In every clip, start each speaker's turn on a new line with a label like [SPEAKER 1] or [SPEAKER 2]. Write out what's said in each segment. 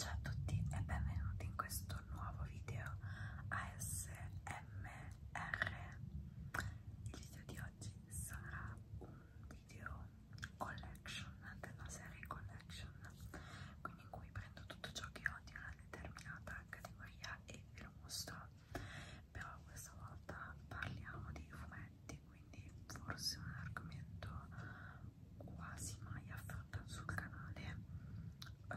[SPEAKER 1] Ciao a tutti e benvenuti in questo nuovo video ASMR. Il video di oggi sarà un video collection della serie collection, quindi in cui prendo tutto ciò che ho di una determinata categoria e ve lo mostro. Però questa volta parliamo di fumetti argomenti, quindi forse un argomento quasi mai affrontato sul canale. Eh,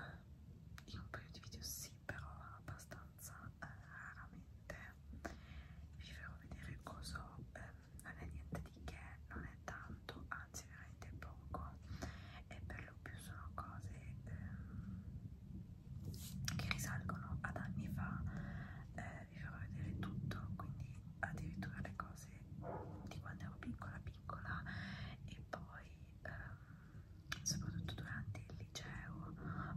[SPEAKER 1] in un paio di video sì, però abbastanza eh, raramente. Vi farò vedere cosa eh, non è niente di che, non è tanto, anzi veramente poco. E per lo più sono cose eh, che risalgono ad anni fa. Eh, vi farò vedere tutto, quindi addirittura le cose di quando ero piccola piccola e poi ehm, soprattutto durante il liceo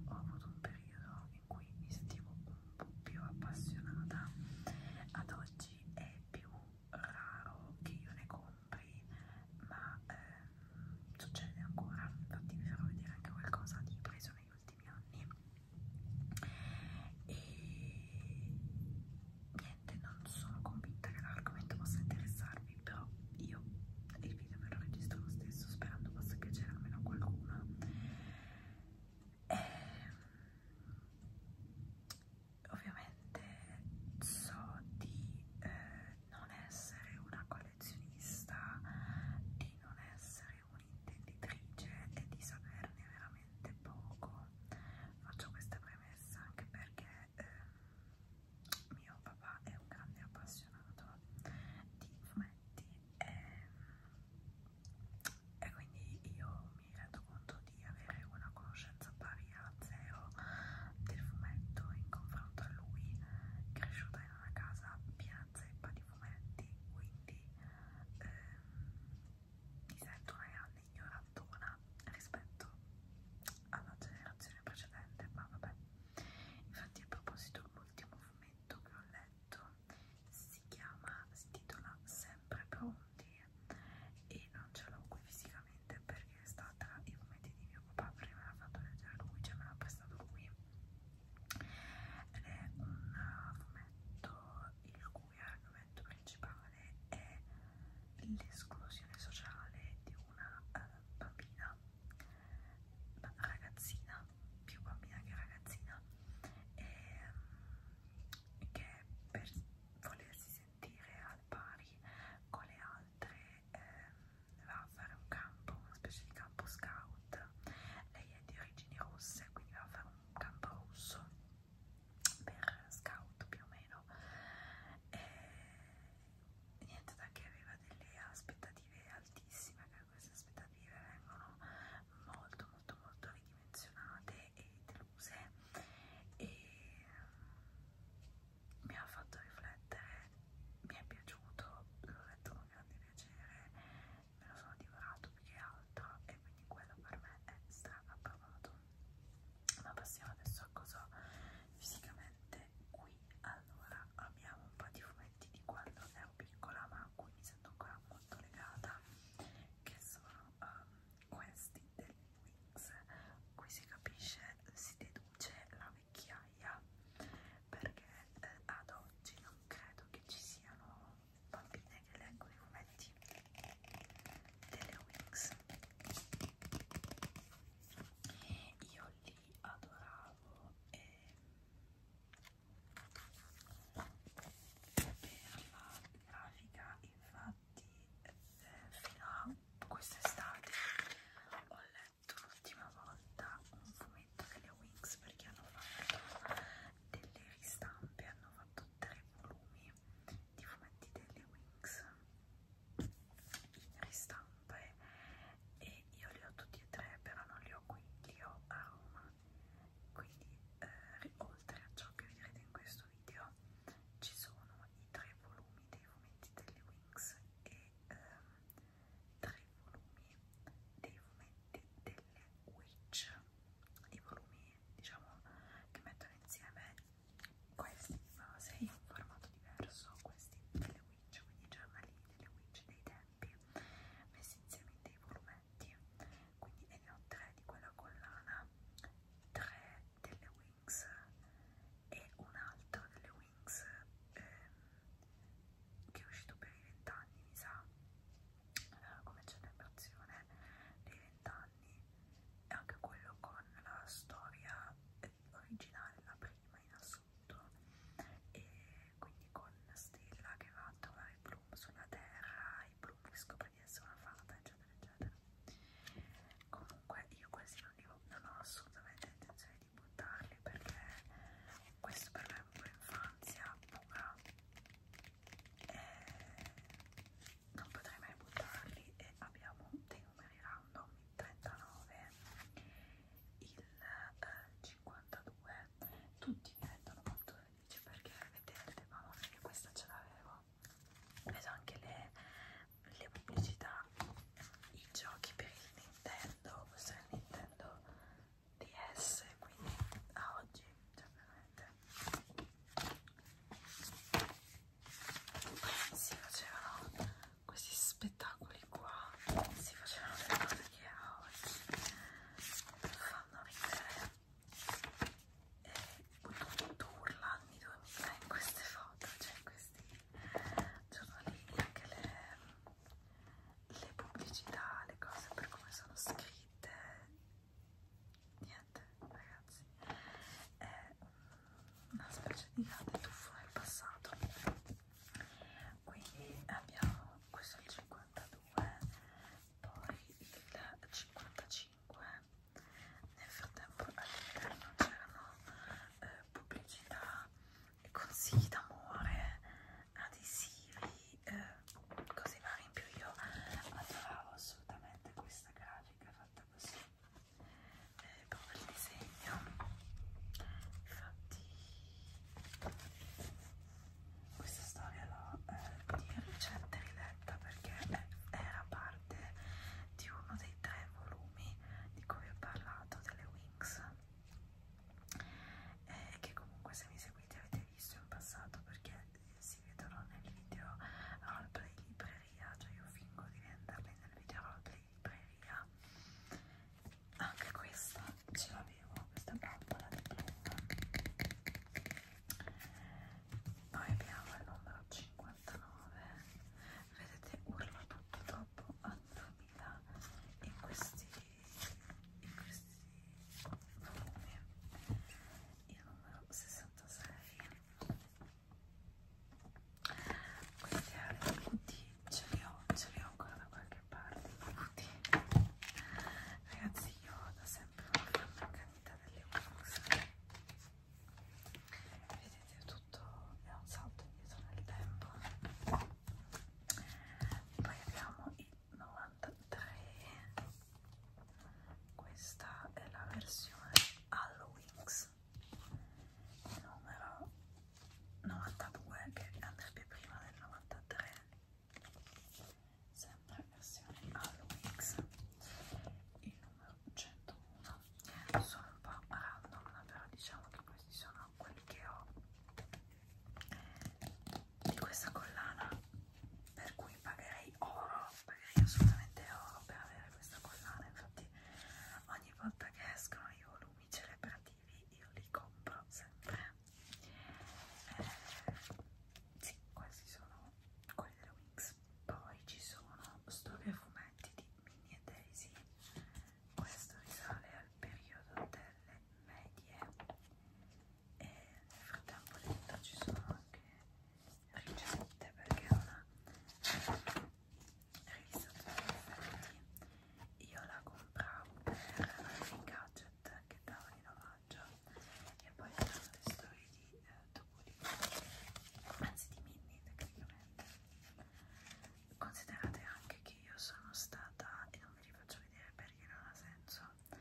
[SPEAKER 1] ho avuto un periodo in cui mi sentivo un po' più appassionata ad oggi è più raro che io ne compri ma ehm, succede ancora infatti vi farò vedere anche qualcosa di preso negli ultimi anni e niente non sono convinta che l'argomento possa interessarvi però io il video ve lo registro lo stesso sperando possa piacere almeno a qualcuno e, ehm, ovviamente so di eh, non essere una collezionista di non essere essere un'intenditrice e di saperne veramente poco. Faccio questa premessa anche perché eh, mio papà è un grande appassionato di fumetti e, ehm, e quindi io mi rendo conto di avere una conoscenza pari a zero del fumetto in confronto a lui, cresciuta in una casa piena zeppa di fumetti, quindi ehm, mi sento una grande ignorantona rispetto alla generazione precedente, ma vabbè. Infatti a proposito l'ultimo fumetto che ho letto si chiama, si titola Sempre Pronti e non ce l'ho qui fisicamente perché è stata i fumetti di mio papà perché me l'ha fatto leggere lui, cioè me l'ha prestato lui ed è un fumetto il cui l'argomento principale è l'esclusione sociale di una eh, bambina, ragazzina, più bambina che ragazzina, e, ehm, che per volersi sentire al pari con le altre eh, va a fare un campo, una specie di campo scout. Lei è di origini russe, quindi va a fare un campo russo per scout più o meno e niente da che aveva delle aspettative altissime che queste aspettative vengono molto molto molto ridimensionate e deluse e mm, mi ha fatto riflettere mi è piaciuto l'ho letto con grande piacere me lo sono divorato più che altro e quindi quello per me è stra approvato ma passiamo adesso a cosa fisicamente qui allora abbiamo un po' di fumetti di quando ero piccola ma a cui mi sento ancora molto legata che sono um, questi degli Wings qui si capisce, si deduce la vecchiaia perché eh, ad oggi non credo che ci siano bambine che leggono i fumetti delle Wings io li adoravo e per la grafica infatti fino a quest'estate ho letto l'ultima volta un fumetto delle Wings perché hanno fatto delle ristampe, hanno fatto tre volumi di fumetti delle Wings in ristampe e io li ho tutti e tre, però non li ho qui, li ho a Roma. Quindi, eh, oltre a ciò che vedrete in questo video, ci sono i tre volumi dei fumetti delle Wings e ehm, tre volumi dei fumetti delle Witch, i volumi diciamo che mettono insieme questi in fase in un formato diverso, questi delle witch, quindi giornali delle witch dei tempi messi insieme in dei volumetti, quindi ne ho tre di quella collana, tre delle wings e un altro delle wings ehm, che è uscito per i vent'anni mi sa eh, come celebrazione dei vent'anni e anche quello con la storia originale, la prima in assoluto e quindi con Stella che va a trovare Bloom sulla terra e Bloom che scopre di essere una fata eccetera eccetera comunque io questi non, li ho, non ho assolutamente intenzione di buttarli perché questo per me è un po' infanzia pura eh, non potrei mai buttarli e abbiamo dei numeri random il 39 il eh, 52 tutti mi rendono molto felice perché vedete mamma mia questa ce l'avevo vedo anche le, le pubblicità i giochi per il Nintendo questo è il Nintendo DS quindi a oggi cioè veramente si facevano questi spettacoli qua si facevano le cose che a oggi fanno ridere e tutto urla anni 2000 in queste foto cioè in questi giornalini anche le, le pubblicità le cose per come sono scritte niente ragazzi è eh, mm, una specie di grande tuffo nel passato quindi abbiamo questo è il 52 poi il 55 nel frattempo all'interno c'erano eh, pubblicità e consigli d'amore adesivi eh, cose varie in più io adoravo assolutamente questa grafica fatta così eh, proprio il disegno infatti questa storia l'ho eh, di recente riletta perché era parte di uno dei tre volumi di cui vi ho parlato delle Wings eh, che comunque se mi seguite avete visto in passato perché si vedono nel video roleplay libreria, cioè io fingo di venderli nel video roleplay libreria. Anche questa ce l'avevo, questa bambola di blu. Poi abbiamo il numero 59, vedete urla tutto dopo a 2000 in questi, in questi volumi il numero 66 questi acuti ce li ho, ce li ho ancora da qualche parte acuti ragazzi io ho da sempre una fama accanita delle Wings vedete tutto è un salto indietro nel tempo poi abbiamo il 93 questa è la versione Halloween il numero 92 che andrebbe prima del 93 sempre versione Halloween il numero 101 sono un po' random però diciamo che questi sono quelli che ho di questa collana per cui pagherei oro pagherei assolutamente oro per avere questa collana infatti ogni volta che escono i volumi celebrativi io li compro sempre eh, sì questi sono quelli delle Wings poi ci sono storie fumetti di Minnie e Daisy questo risale al periodo delle medie e nel frattempo dentro ci sono anche ricette perché è una rivista io la compravo per Green Gadget che dava in omaggio e poi erano le storie di eh, Topolino anzi di Minnie tecnicamente considerate anche che io sono stata e non ve li faccio vedere perché non ha senso cosa,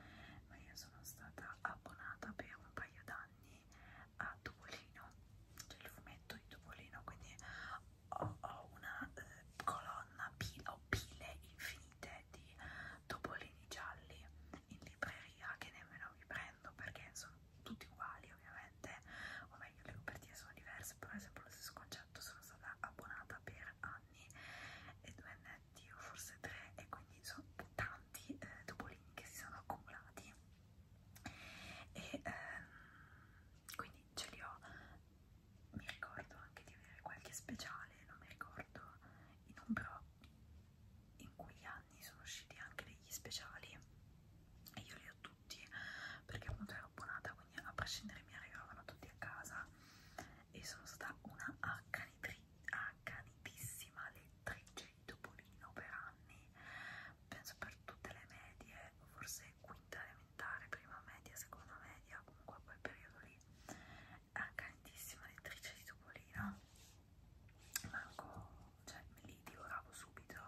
[SPEAKER 1] ma io sono stata abbonata per un paio d'anni a Topolino, cioè il fumetto di Topolino, quindi ho, ho una eh, colonna, pil ho pile infinite di Topolini gialli in libreria che nemmeno mi prendo perché sono tutti uguali ovviamente, o meglio le copertine sono diverse, però è sempre lo stesso concetto, sono stata abbonata per anni e dovenne dialetti o forse tre e quindi sono tanti eh, topolini che si sono accumulati e ehm, quindi ce li ho mi ricordo anche di avere qualche speciale non mi ricordo in un però in quegli anni sono usciti anche degli speciali e io li ho tutti perché appunto ero abbonata quindi a prescindere mi arrivavano tutti a casa e sono stata una accanitissima lettrice di Topolino per anni, penso per tutte le medie, forse quinta elementare, prima media, seconda media, comunque quel periodo lì, accanitissima lettrice di Topolino, manco, cioè me li divoravo subito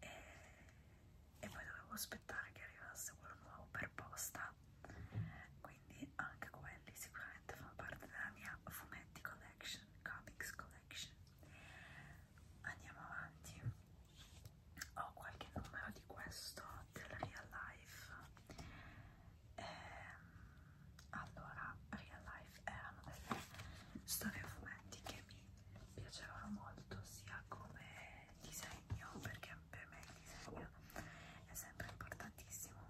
[SPEAKER 1] e, e poi dovevo aspettare che arrivasse quello nuovo per posta quindi anche quelli sicuramente fanno parte della mia fumetti collection, comics collection. Andiamo avanti. Ho qualche numero di questo del Real Life. Ehm, allora, Real Life erano delle storie fumetti che mi piacevano molto sia come disegno, perché per me il disegno è sempre importantissimo,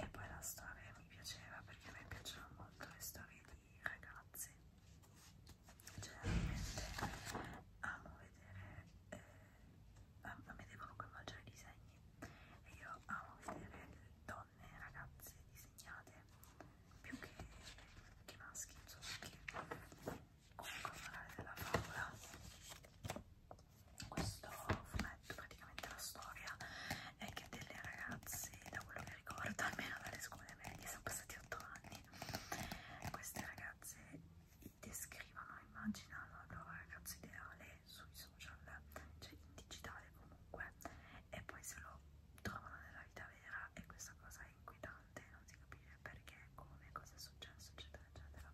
[SPEAKER 1] e poi la storia è mi piaceva perché a me piacciono molto le storie di ragazze generalmente amo vedere eh, a, a me devono coinvolgere i disegni e io amo vedere donne ragazze disegnate più che, che maschi insomma che comunque morale della favola questo fumetto, praticamente la storia è che delle ragazze, da quello che ricordo, almeno dalle scuole medie, sono passati 8 anni, queste ragazze descrivono, immaginano il loro ragazzo ideale sui social, cioè in digitale comunque, e poi se lo trovano nella vita vera e questa cosa è inquietante, non si capisce perché, come, cosa è successo, eccetera, eccetera.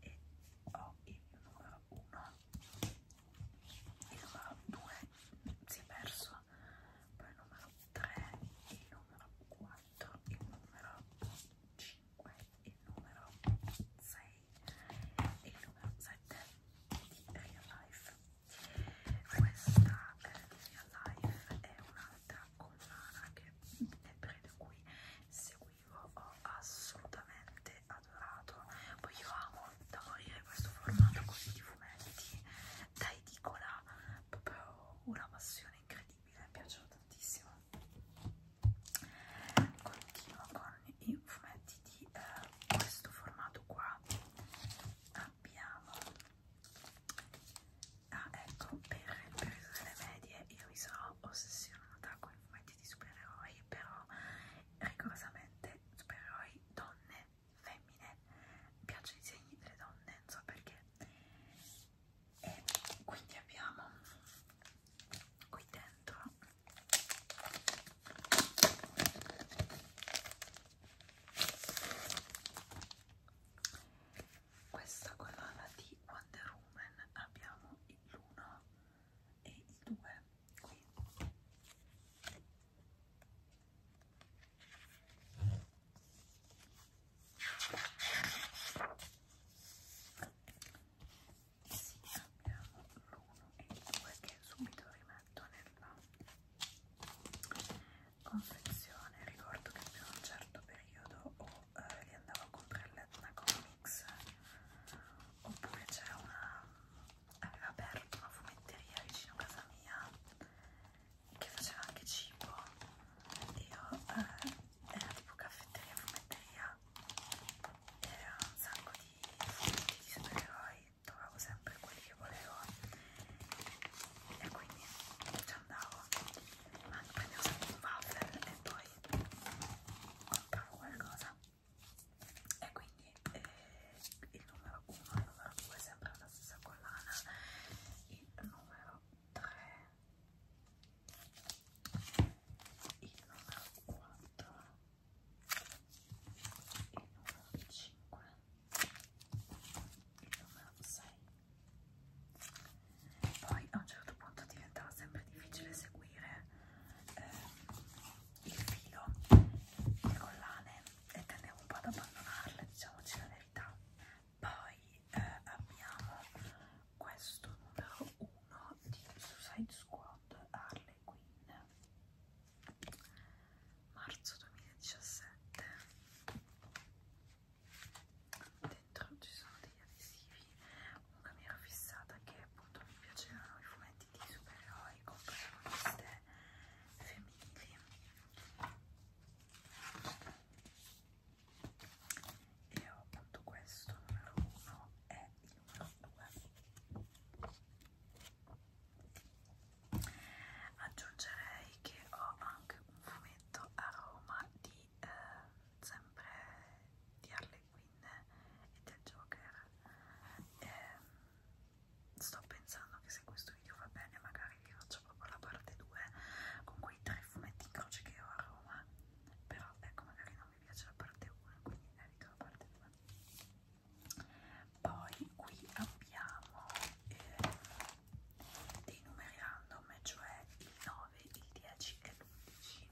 [SPEAKER 1] E ho il numero 1 il numero 2 si è perso poi il numero 3 il numero 4 il numero 5 il numero 6 e il numero 7 di Real Life questa eh, Real Life è un'altra collana che vedrete qui segue io ho assolutamente adorato. Poi io amo da morire questo formato così di fumetti da edicola, proprio una passione incredibile, mi piacciono tantissimo. Continuo con i fumetti di eh, questo formato qua. Abbiamo ah ecco per il periodo delle medie io mi sono ossessionata con i fumetti di supereroi però rigorosamente supereroi donne, femmine, mi piacciono i disegni delle donne, non so perché. E quindi abbiamo qui dentro questa colonna di Wonder Woman abbiamo l'1 e il 2 qui e sì, abbiamo l'1 e il 2 che subito rimetto nella confezione ricordo che per un certo periodo o eh, li andavo a comprare all'Etna con Comics oppure c'era una aveva aperto una fumetteria vicino a casa mia che faceva anche cibo io eh, era tipo caffetteria fumetteria e era un sacco di fumetti di supereroi trovavo sempre quelli che volevo e quindi ci andavo ma prendevo sempre un waffle e poi compravo qualcosa e quindi eh, il numero 1 e il numero 2 è sempre la stessa collana il numero 3 il numero 4 il numero 5 il numero 6 poi a un certo punto diventava sempre difficile seguire eh, il filo, le collane e tendiamo un po' ad abbandonarle, diciamoci la verità. Poi eh, abbiamo questo numero 1 di Suicide Squad Harley Quinn, marzo 2017. Dentro ci sono degli adesivi, una mira fissata che appunto mi piacevano i fumetti fumetti di supereroi con protagoniste femminili e ho appunto questo numero 1 e il numero 2 aggiungerei che ho anche un fumetto a Roma di eh, sempre di Arle dei Queen e del Joker. Ehm, sto pensando che se questo video va bene, magari vi faccio proprio la parte 2 con quei tre fumetti in croce che ho a Roma. Però ecco, magari non mi piace la parte 1, quindi evito la parte 2. Poi qui abbiamo eh, dei numeri random, cioè il 9, il 10 e l'11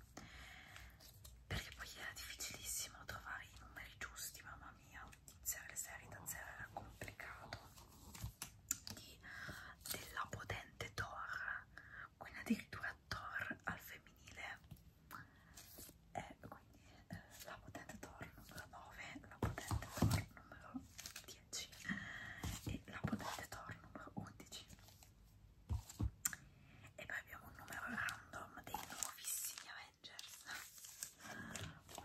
[SPEAKER 1] perché poi era difficilissimo trovare i numeri giusti, mamma mia, iniziare le serie da zero era complicato di, della potente Thor quindi addirittura Thor al femminile eh, quindi eh, la potente Thor numero 9 la potente Thor numero 10 e la potente Thor numero 11 e poi abbiamo un numero random dei nuovissimi Avengers qui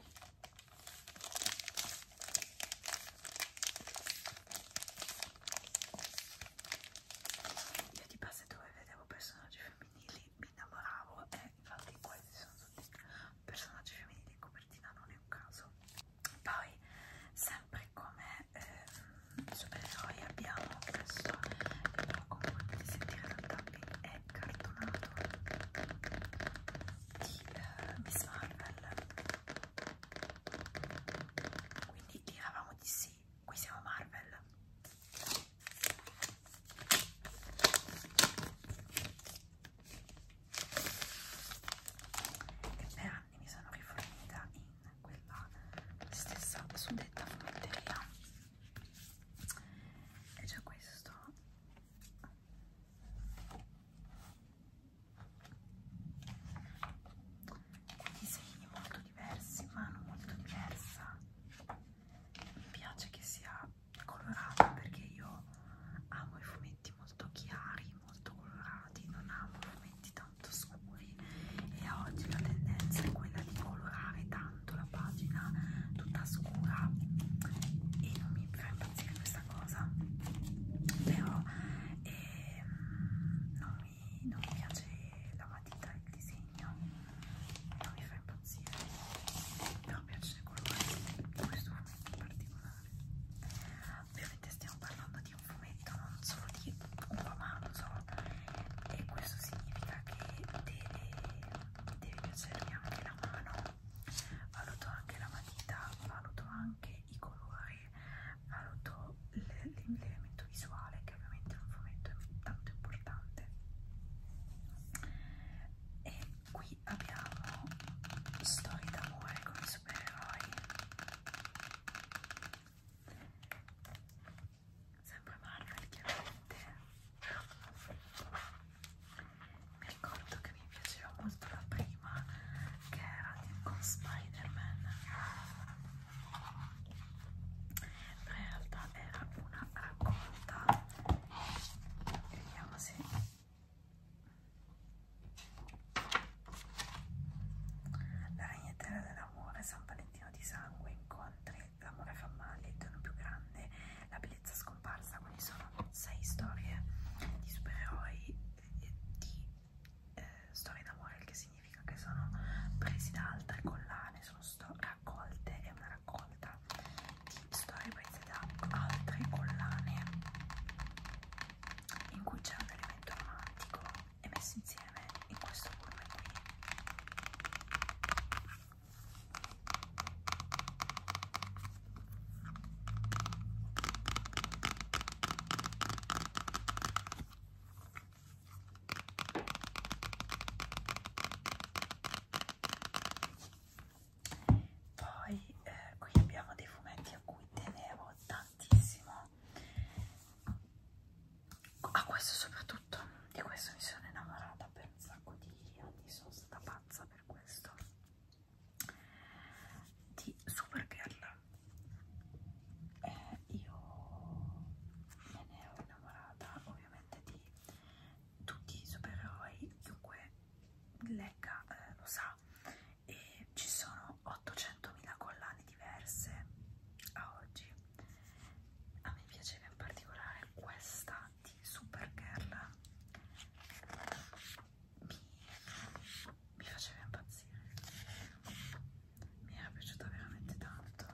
[SPEAKER 1] io di base dove vedevo personaggi femminili mi innamoravo e infatti questi sono tutti personaggi femminili in copertina non è un caso poi sempre come eh, supereroi abbiamo adesso però come potete sentire dal tapping è cartonato di eh, Miss Marvel quindi tiravamo di sì qui siamo Marvel e per anni mi sono rifornita in quella stessa suddetta fumetteria è già questo con disegni molto diversi mano molto diversa mi piace che sia colorata perché io amo i fumetti molto chiari molto colorati non amo i fumetti tanto scuri e oggi la tendenza è quella di colorare tanto tanto la pagina tutta scura e non mi fa impazzire questa cosa però eh, non, mi, non mi piace la matita il disegno non mi fa impazzire però piace il colore questo fumetto in particolare ovviamente stiamo parlando di un fumetto non solo di un romanzo e questo significa che deve, deve piacermi anche la mano valuto anche la matita valuto anche i colori valuto l'elemento visuale che ovviamente in un fumetto è tanto importante e qui abbiamo storie d'amore con i supereroi sempre Marvel chiaramente mi ricordo che mi piaceva molto la prima che era con Spider-Man però in realtà era una raccolta vediamo se la ragnatela dell'amore San Valentino di sangue incontri l'amore fa male, il dono più grande, la bellezza scomparsa, quindi sono sei storie di supereroi e di eh, storie d'amore, il che significa che sono presi da altre collane, sono raccolte, è una raccolta di storie prese da altre collane in cui c'è un elemento romantico e messo insieme in questo volume qui poi eh, qui abbiamo dei fumetti a cui tenevo tantissimo a ah, questo soprattutto di questo mi sono innamorata per un sacco di anni sono stata pazza per questo di Supergirl eh, io me ne ero innamorata ovviamente di tutti i supereroi chiunque legga eh, lo sa e ci sono 800.000 collane diverse a oggi a me piaceva in particolare questa di Supergirl mi, mi faceva impazzire mi era piaciuta veramente tanto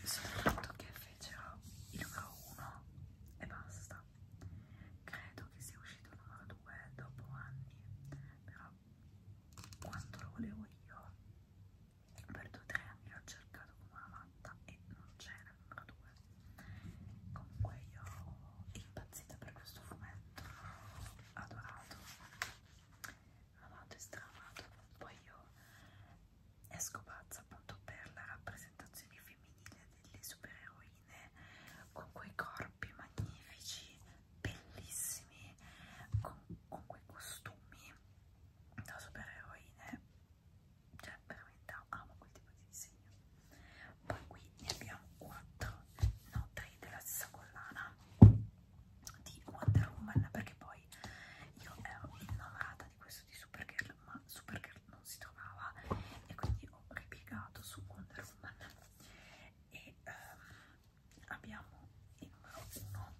[SPEAKER 1] e soprattutto che fecero il numero 1 e basta credo che sia uscito il numero 2 dopo anni però quanto lo volevo io per due o tre anni l'ho cercato come una matta e non c'era numero due comunque io impazzita per questo fumetto adorato amato e stramato poi io esco pazza appunto per la rappresentazione femminile delle supereroi ballerine con quei corpi magnifici, bellissimi, con, con quei costumi da supereroine, eh. cioè veramente amo quel tipo di disegno. Poi qui ne abbiamo 4, no 3 della stessa collana di Wonder Woman perché poi io ero innamorata di questo di Supergirl ma Supergirl non si trovava e quindi ho ripiegato su Wonder Woman e um, abbiamo il numero 1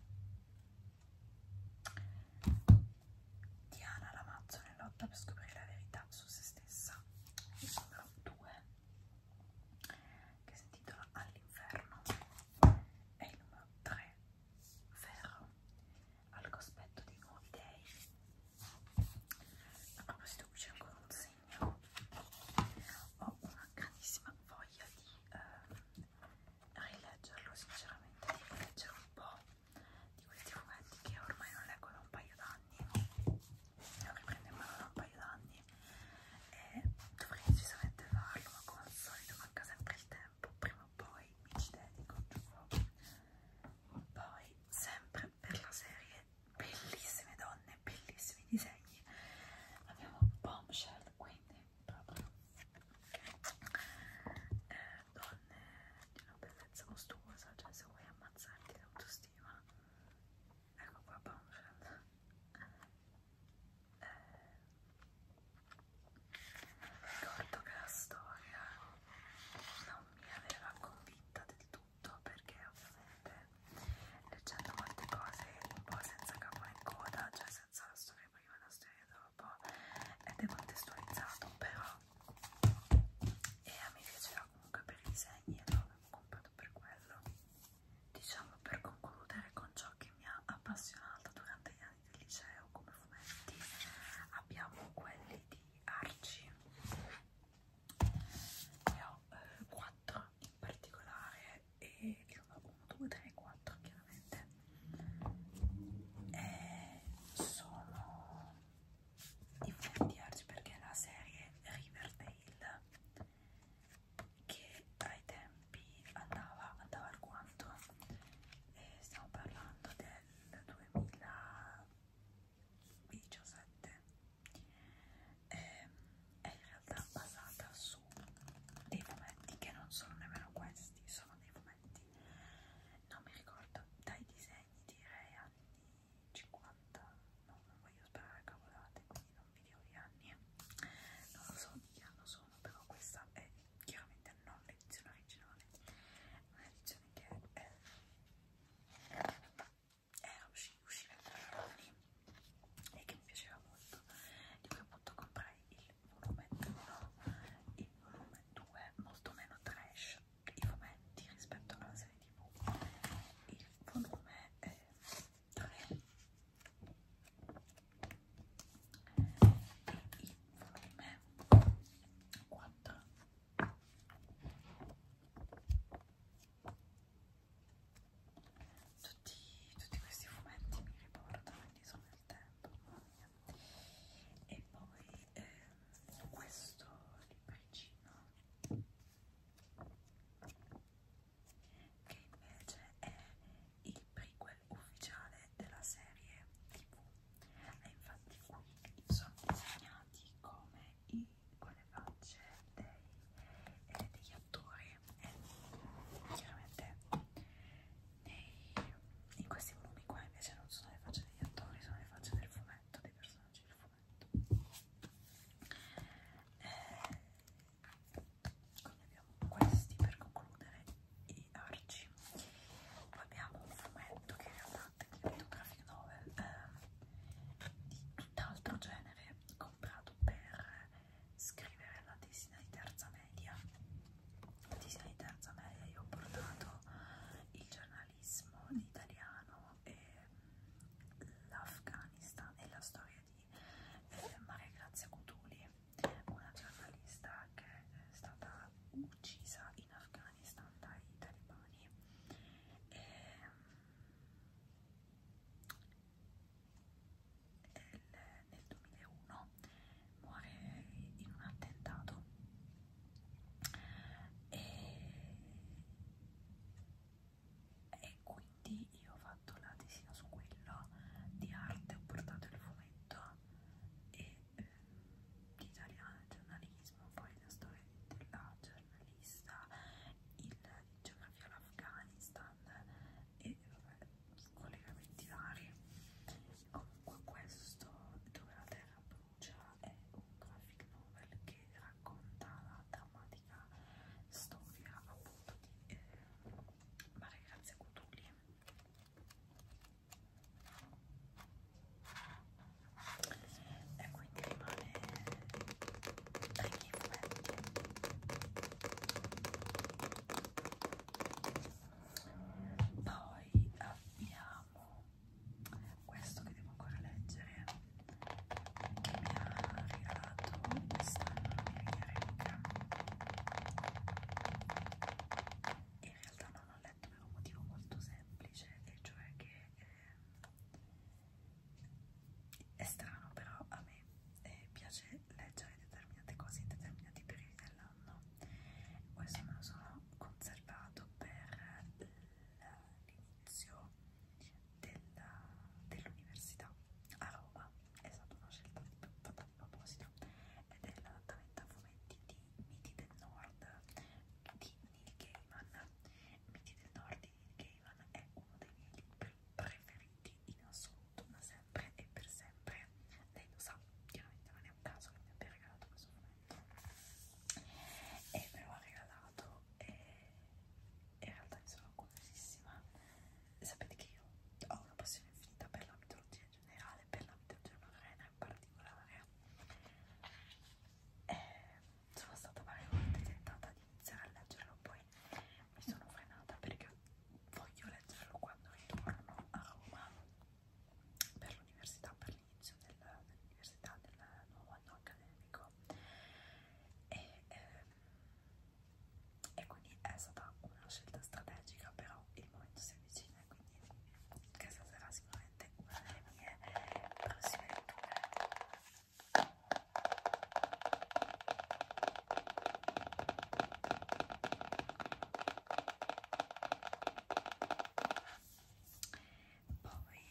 [SPEAKER 1] Diana Lamazzo nell'otta per scoprire la verità su se stessa il numero 2 che si intitola All'inferno e il numero 3 Ferro al cospetto dei nuovi dei a proposito qui c'è ancora un segno ho una grandissima voglia di eh, rileggerlo sinceramente di rileggere un po' di questi fumetti che ormai non leggo da un paio d'anni non riprendo in mano da un paio d'anni e dovrei decisamente farlo ma come al solito manca sempre il tempo prima o poi mi ci dedico giuro poi sempre per la serie bellissime donne, bellissimi disegni. Abbiamo bombshell, quindi proprio eh, donne di una bellezza mostruosa, cioè se vuoi ammazzarti l'autostima, ecco qua bombshell. Eh, ricordo che la storia non mi aveva convinta del tutto tutto perché ovviamente leggendo molte cose un po' senza capo né coda, cioè senza la storia prima e la storia dopo è decontestualizzato però e a me piaceva comunque per i disegni e l'ho comprato per quello diciamo per concludere con ciò che mi ha appassionato durante gli anni del liceo come fumetti abbiamo quelli di Arci ne ho eh, 4 in particolare e che eh, sono 1, 2, 3, 4 chiaramente e sono differenti oggi perché la serie Riverdale che ai tempi andava, andava alquanto e stiamo parlando del 2017 eh, è in realtà basata su dei fumetti che non sono nemmeno questi, sono dei fumetti, non mi ricordo, dai disegni direi anni 50, no, non voglio sperare cavolate, quindi non vi dico gli anni, non lo so di che anno sono, però questa è chiaramente non l'edizione originale, un'edizione che è era eh, usci usciva il telefono lì e che mi piaceva molto di cui appunto comprai il volume 1 il volume 2 molto meno trash i fumetti rispetto alla serie tv il volume eh, 3 e il volume 4 tutti, tutti questi fumetti mi riportano indietro nel tempo e poi ehm, questo libricino che invece è il prequel ufficiale della serie tv e infatti qui sono disegnati come i con le facce dei, eh, degli attori e chiaramente nei, in questi volumi qua invece non sono le facce degli attori, sono le facce del fumetto, dei personaggi del fumetto. Eh, quindi abbiamo questi per concludere i arci. Poi abbiamo un fumetto che in realtà è un graphic novel eh, di tutt'altro genere comprato per scrivere la tesina di terza media. La tesina di terza media io ho portato il giornalismo italiano e l'Afghanistan e la storia di eh, Maria Grazia Cutuli, una giornalista che è stata uccisa in Afghanistan dai talebani. E, nel, nel 2001 muore in un attentato e, e quindi io ho fatto la tesina su quello di arte, ho portato il fumetto e eh, di italiano, il giornalismo, poi la storia della giornalista, il c'è una via all'Afghanistan e vabbè, collegamenti vari. Comunque questo, dove la terra brucia, è un graphic novel che racconta la drammatica storia appunto di eh, Maria Grazia Cutuli. E quindi rimane ai miei fumetti poi abbiamo questo che devo ancora leggere che mi ha regalato quest'anno la mia Rebecca in realtà non l'ho letto per un motivo molto semplice e cioè che eh, è strano, però a me eh, piace leggere determinate cose in determinati periodi dell'anno. Questo me lo sono conservato per l'inizio dell'università dell a Roma. È stata una scelta di, fatta di proposito ed è l'adattamento a fumetti di Miti del Nord di Neil Gaiman. Miti del Nord di Neil Gaiman è uno dei miei libri preferiti talenti in assoluto, ma sempre e per sempre. Lei lo sa, chiaramente non è un caso che mi abbia regalato questo momento. E me lo ha regalato e in realtà ne sono curiosissima. Sapete che io ho una passione infinita per la mitologia in generale, per la mitologia norrena in particolare. E sono stata varie volte tentata di iniziare a leggerlo, poi mi sono frenata perché voglio leggerlo quando ritorno a Roma per l'università, per l'inizio dell'università del nuovo anno accademico e, ehm, e quindi è stata una scelta strategica però il momento si avvicina e quindi che sarà sicuramente una delle mie prossime letture poi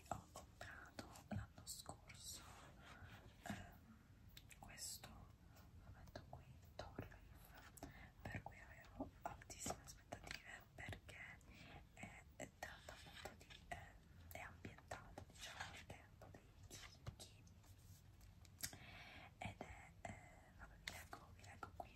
[SPEAKER 1] ho comprato l'anno scorso ehm, questo, lo metto qui, Torrif, per cui avevo altissime aspettative perché è tratta appunto di... Eh, è ambientata diciamo nel tempo dei chicchi ed è, eh, vabbè vi leggo, vi leggo qui,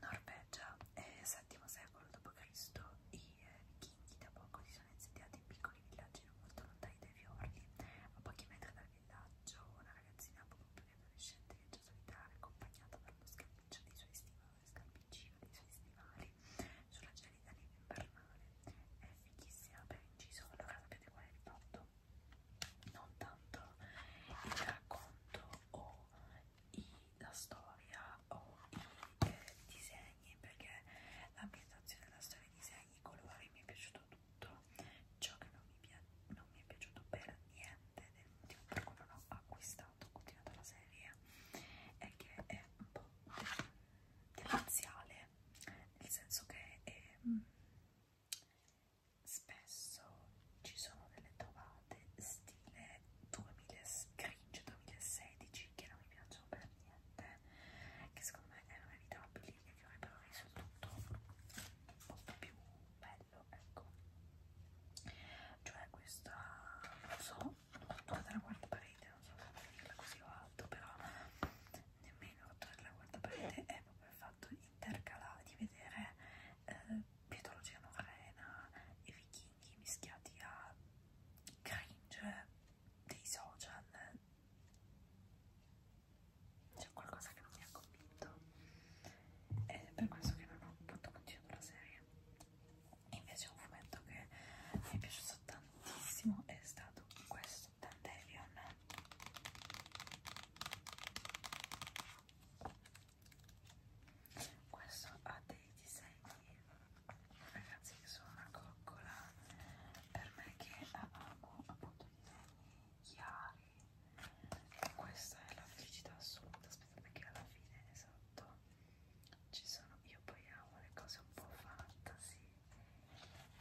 [SPEAKER 1] Norvegia, eh, VII secolo d.C., i eh, vichinghi da poco si sono insediati in piccoli villaggi non molto lontani dai fiordi, a pochi metri dal villaggio una ragazzina poco più che adolescente viaggia solitaria accompagnata dallo scalpiccio dei suoi stivali, scalpiccio dei suoi stivali sulla versione italiana invernale è fighissima per inciso allora sapete qual è il fatto? non tanto il racconto o i, la storia o i eh, disegni perché l'ambientazione della storia, i disegni, i colori mi è piaciuto tutto ciò che non mi, non mi è piaciuto per niente del motivo per cui non ho acquistato, continuato la serie è che è un po' demenziale nel senso che ehm, spesso ci sono delle trovate stile 2000, cringe 2016 che non mi piacciono per niente, che secondo me erano evitabili e che avrebbero reso tutto un po' più bello, ecco. Cioè questa, non so, rotolare la guardaparete, non so come dirla così alto, però nemmeno rotolare la guardaparete è proprio il fatto intercalare, di vedere eh, pietologia norrena e vichinghi mischiati a cringe dei social. C'è qualcosa che non mi ha convinto. Ed è per questo che non ho appunto continuato la serie. Invece è un fumetto che mi è piaciuto piaciuto tantissimo è stato questo Dandelion questo ha dei disegni ragazzi che sono una coccola per me che amo appunto disegni chiari e questa è la felicità assoluta aspettate che alla fine esatto ci sono io poi amo le cose un po' fantasy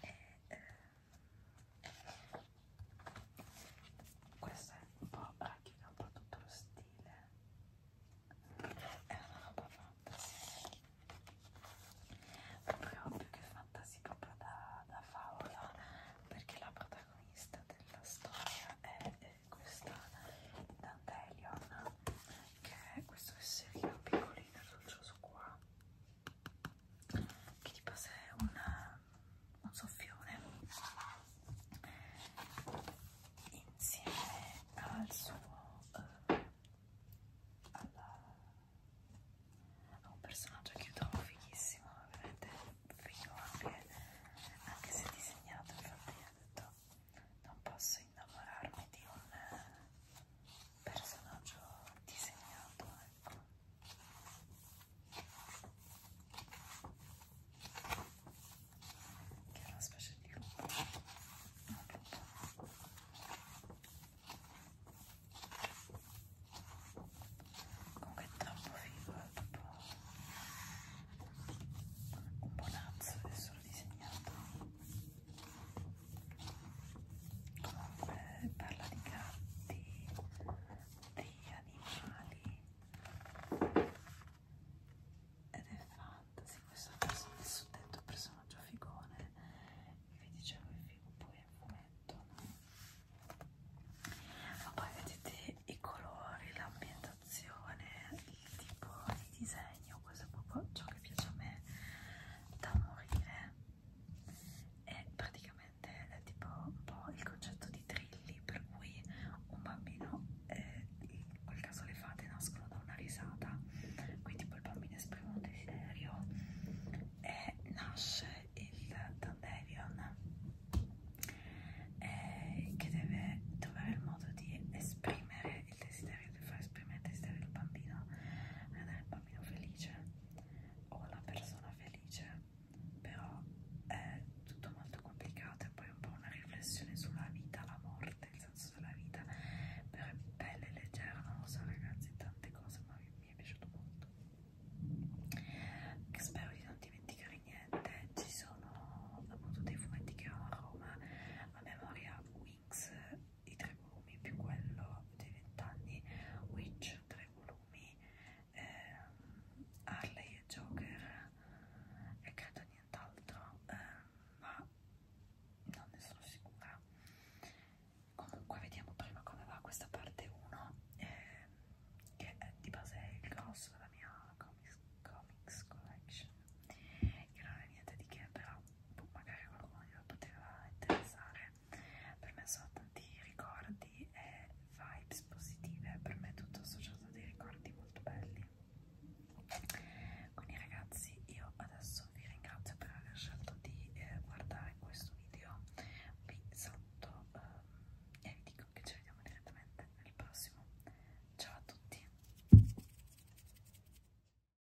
[SPEAKER 1] e, eh, questo è un po' racchiude un po' tutto lo stile è una roba fantasy proprio più che fantasy proprio da, da favola perché la protagonista della storia è, è questa Dandelion che è questo esserino piccolino e dolcioso qua che di base è un, un soffione insieme al suo eh, alla, a un personaggio che io trovo fighissimo veramente figo anche, anche se disegnato infatti ho detto non posso innamorarmi di un eh, personaggio disegnato, ecco. Che è una specie di lupo. Un lupo. Comunque è troppo figo, è proprio un bonazzo, è solo disegnato eh, parla di gatti, di animali ed è fantasy, questo adesso il suddetto personaggio figone vi dicevo il figo poi è fumetto no? ma poi vedete i colori, l'ambientazione, il tipo di disegno, questo è proprio ciò che piace a me da morire e praticamente è tipo un po' il concetto di trilli per cui un bambino eh, in quel caso le fate nascono da una risata quindi tipo il bambino esprime un desiderio e nasce il Dandelion eh, che deve trovare il modo di esprimere il desiderio di far esprimere il desiderio del bambino del bambino felice o la persona felice però è tutto molto complicato e poi un po' una riflessione sulla vita, la morte, il senso della vita però è bella e leggera, non lo so ragazzi tante cose ma mi, mi è piaciuto molto che spero di non dimenticare niente ci sono appunto dei fumetti che erano a Roma a memoria Wii Mix i tre volumi più quello dei vent'anni Witch tre volumi ehm, Harley e Joker e credo nient'altro ehm, ma non ne sono sicura comunque vediamo prima come va questa parte 1 ehm, che è di base il grosso della mia comics, comics collection ok eh, che non è niente di che però boh, magari qualcuno glielo poteva interessare per me sono tanti ricordi e vibes positive per me è tutto associato a dei ricordi molto belli quindi ragazzi io adesso vi ringrazio per aver scelto di eh, guardare questo video vi saluto um, ehm, e vi dico che ci vediamo direttamente nel prossimo ciao a tutti